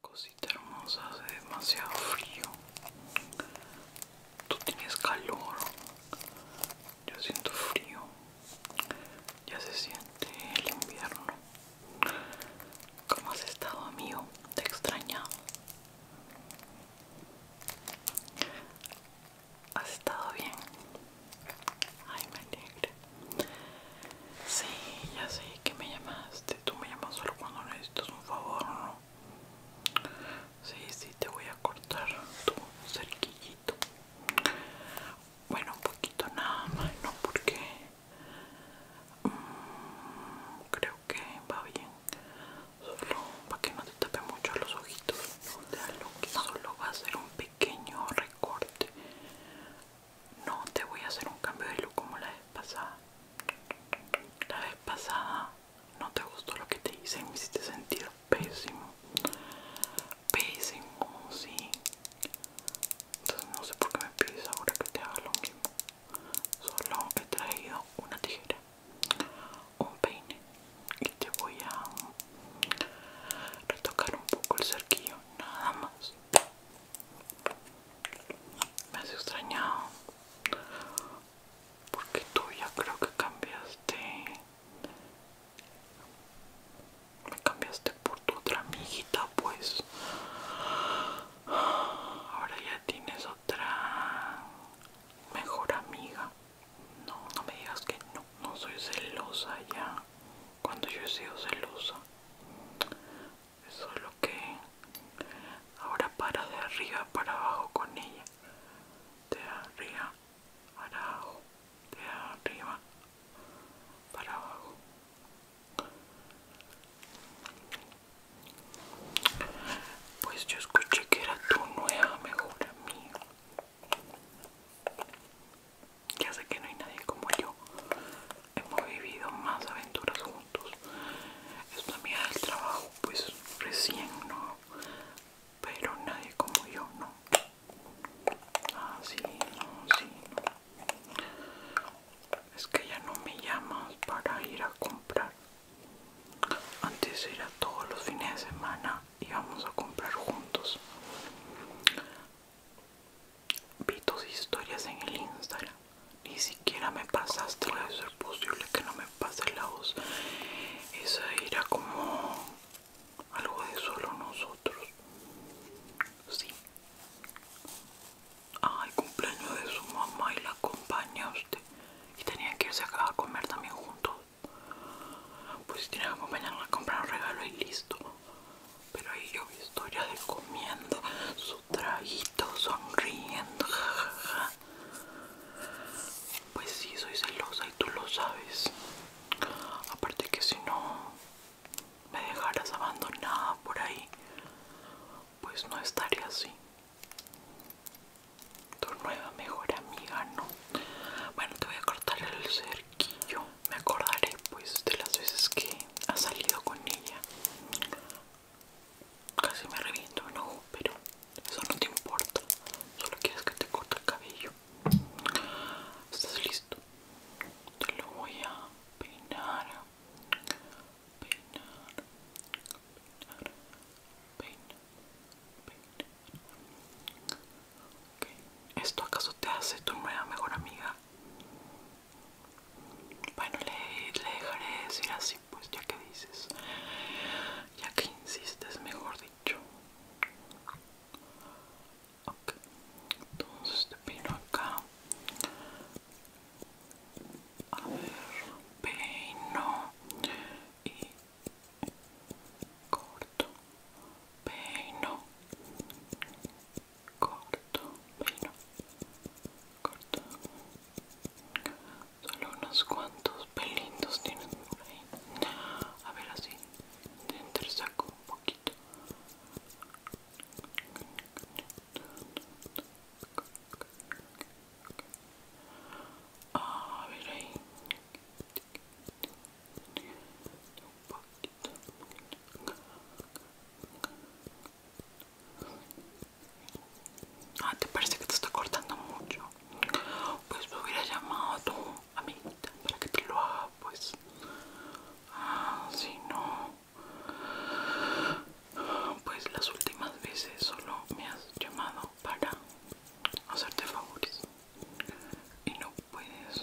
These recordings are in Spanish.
Cosita hermosa, hace demasiado frío. Tú tienes calor. Yo siento frío. Ya se siente el invierno. ¿Cómo has estado, amigo? Te extrañado ¿Has estado bien? Ay, me alegra. Sí, ya sé que me llamaste. Tú me llamas solo cuando necesitas un favor, ¿no? Sí, sí, te voy a cortar tu cerquillito. Bueno, un poquito nada más, ¿no? Porque mm, creo que va bien. Solo para que no te tape mucho los ojitos. solo va a ser un pequeño recorte no te voy a hacer un cambio de look como la vez pasada. La vez pasada no te gustó lo que te hice, me hiciste sentir pésimo. Pésimo, sí. Entonces no sé por qué me pides ahora que te haga lo mismo. Solo he traído una tijera, un peine y te voy a retocar un poco el cerquillo, nada más. Me has extrañado porque tú ya creo que cambiaste. Me cambiaste por tu otra amiguita, pues. Ahora ya tienes otra mejor amiga. No, no me digas que no. No soy celosa ya. Cuando yo he sido celosa. Eso es lo que ahora para de arriba para abajo con ella de arriba para abajo de arriba para abajo pues yo escuché que era tu nueva mejor amiga ya sé que no hay nadie como yo. Hemos vivido más aventuras juntos. Es una amiga del trabajo, pues recién no. Pero nadie como yo, no. así ah, sí, no, sí, no. Es que ya no me llamas para ir a comprar. Antes era todos los fines de semana íbamos a comprar juntos. Vi tus historias en el Instagram. Ni siquiera me pasaste Puede Es posible que no me pase la voz. Esa era como algo de solo nosotros. Sí. Ay, cumpleaños de su mamá y la acompaña usted. Y tenía que irse a comer también juntos. Pues tiene que acompañarla a comprar un regalo y listo. Pero ahí yo vi historia de comiendo su trajito, sonriendo, jajaja. Pues sí, soy celosa y tú lo sabes. Aparte que si no me dejaras abandonada por ahí, pues no estaría así. Tu nueva mejor amiga, ¿no? Bueno, te voy a cortar el cerco yo me acordaré pues de las veces que ha salido con ella casi me reviento ¿no? pero eso no te importa solo quieres que te corte el cabello estás listo te lo voy a peinar peinar peinar peinar peinar ¿Esto acaso te hace tu nueva mejor amiga? Bueno, le, dejaré decir así, pues ya que dices, ya que insistes, mejor dicho. Ok, entonces te pino acá. A ver, peino y corto corto, peino, corto, peino, corto. Solo unos cuantos pelitos tienes por ahí. A ver así, te entre saco un poquito. A ver ahí un poquito ah te parece que te está cortando mucho pues me hubiera llamado a tu para que te lo haga pues ah si no pues las últimas veces solo me has llamado para hacerte favores y no puedes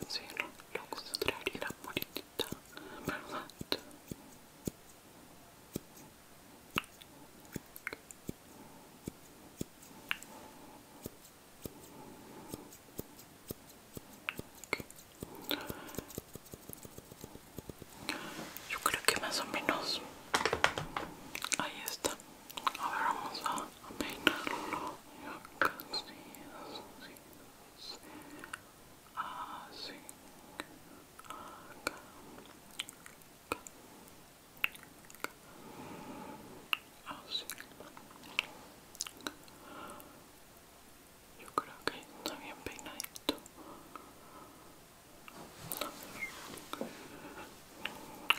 decir lo contrario la puritita, ¿verdad? Yo creo que más o menos ahí está. Ahora vamos a a peinarlo yo casi así así acá así yo creo que está bien peinadito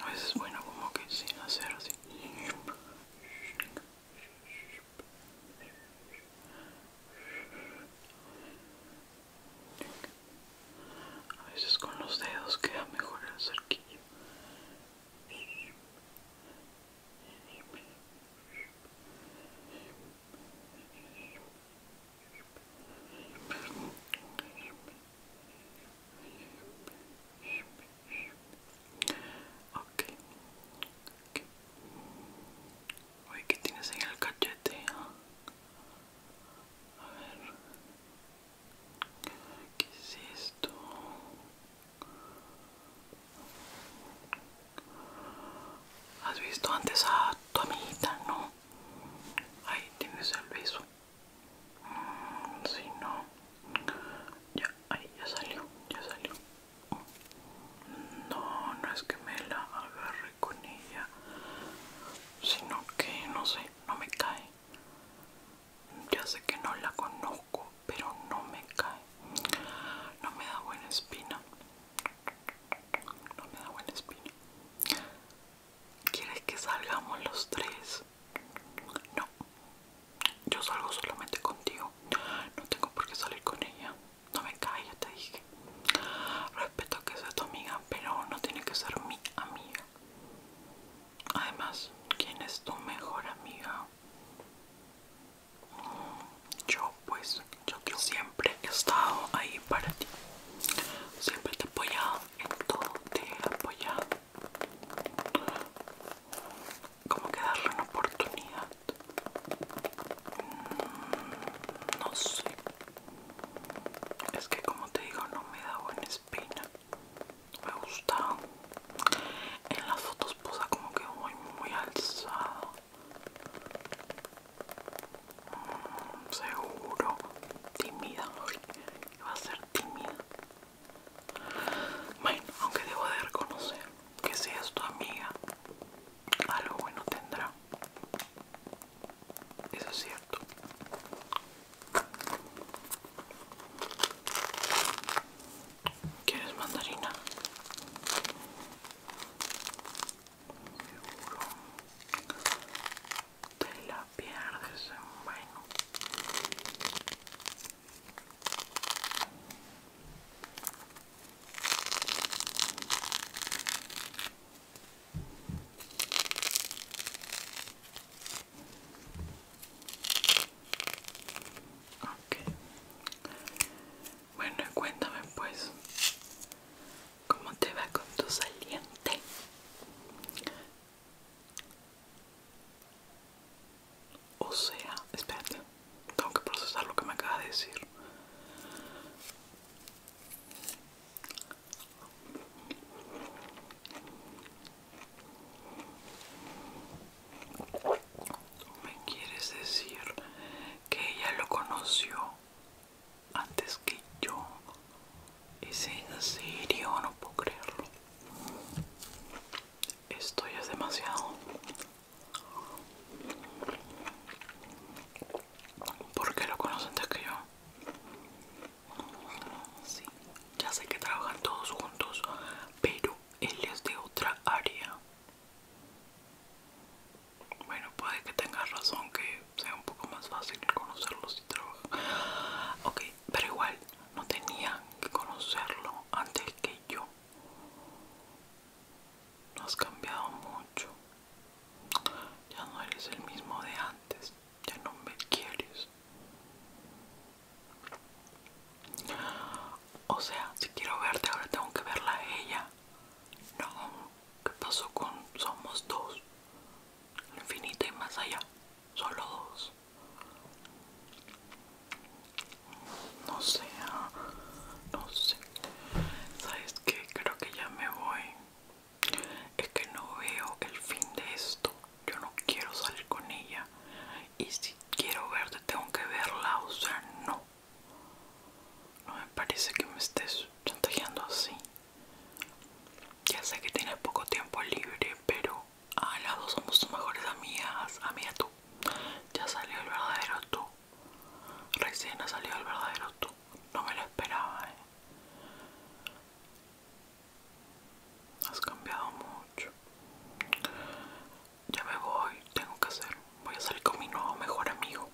a veces es bueno como que sin hacer así a veces con los dedos queda mejor el cerquillo Okay. ¿qué tienes en el cachete? A ver. ¿Qué es esto? ¿Has visto antes a tu amiguita? No. Ahí tienes el beso si no, ya, ahí ya salió, ya salió. No, no es que me la agarre con ella, sino que no sé, no me cae. Ya sé que no la conozco, pero no me cae. No me da buena espina. No me da buena espina. ¿Quieres que salgamos los tres? No, yo salgo solamente contigo. No tengo por qué salir con ella. No me cae, te dije. Respeto que sea tu amiga, pero no tiene que ser mi amiga. Además, ¿quién es tu mejor amiga? Mm, yo, pues, yo que siempre he estado ahí para ti. Siempre te he apoyado en todo, te he apoyado como que darle una oportunidad mm, no sé es que como te digo no me da buena espina me gusta en las fotos posa pues, como que muy muy alzado mm, seguro tímida va a ser tímida. Bueno, aunque debo de reconocer que si es tu amiga, algo bueno tendrá. Eso es cierto. ¿Quieres mandarina? Seguro te la pierdes bueno Okay. Bueno, cuéntame pues, ¿cómo te va con tu saliente? O sea, espérate, tengo que procesar lo que me acaba de decir. ¿Me quieres decir que ella lo conoció antes que yo. ¿Es en serio? No puedo creerlo. Esto ya es demasiado. ¿Por qué lo conocen antes que yo? Sí, ya sé que trabajan todos juntos, pero él es de otra área. Bueno, puede que tengas razón que sea un poco más fácil conocerlos si trabajar. Ok, pero igual no tenía que conocerlo antes que yo. No has cambiado mucho. Ya no eres el mismo de antes. Ya no me quieres. O sea, si quiero verte ahora tengo que verla a ella. No, ¿qué pasó con Somos dos? infinita y más allá. Solo dos. No sé, ah, no sé. ¿Sabes que, Creo que ya me voy. Es que no veo el fin de esto. Yo no quiero salir con ella. Y si quiero verte, tengo que verla. O sea, no. No me parece que me estés chantajeando así. Ya sé que tienes poco tiempo libre, pero a ah, las dos somos tus mejores amigas. Amiga tú. Ya salió el verdadero tú. Recién ha salido el verdadero tú. No me lo esperaba, eh. Has cambiado mucho. Ya me voy, tengo que hacer. Voy a salir con mi nuevo mejor amigo.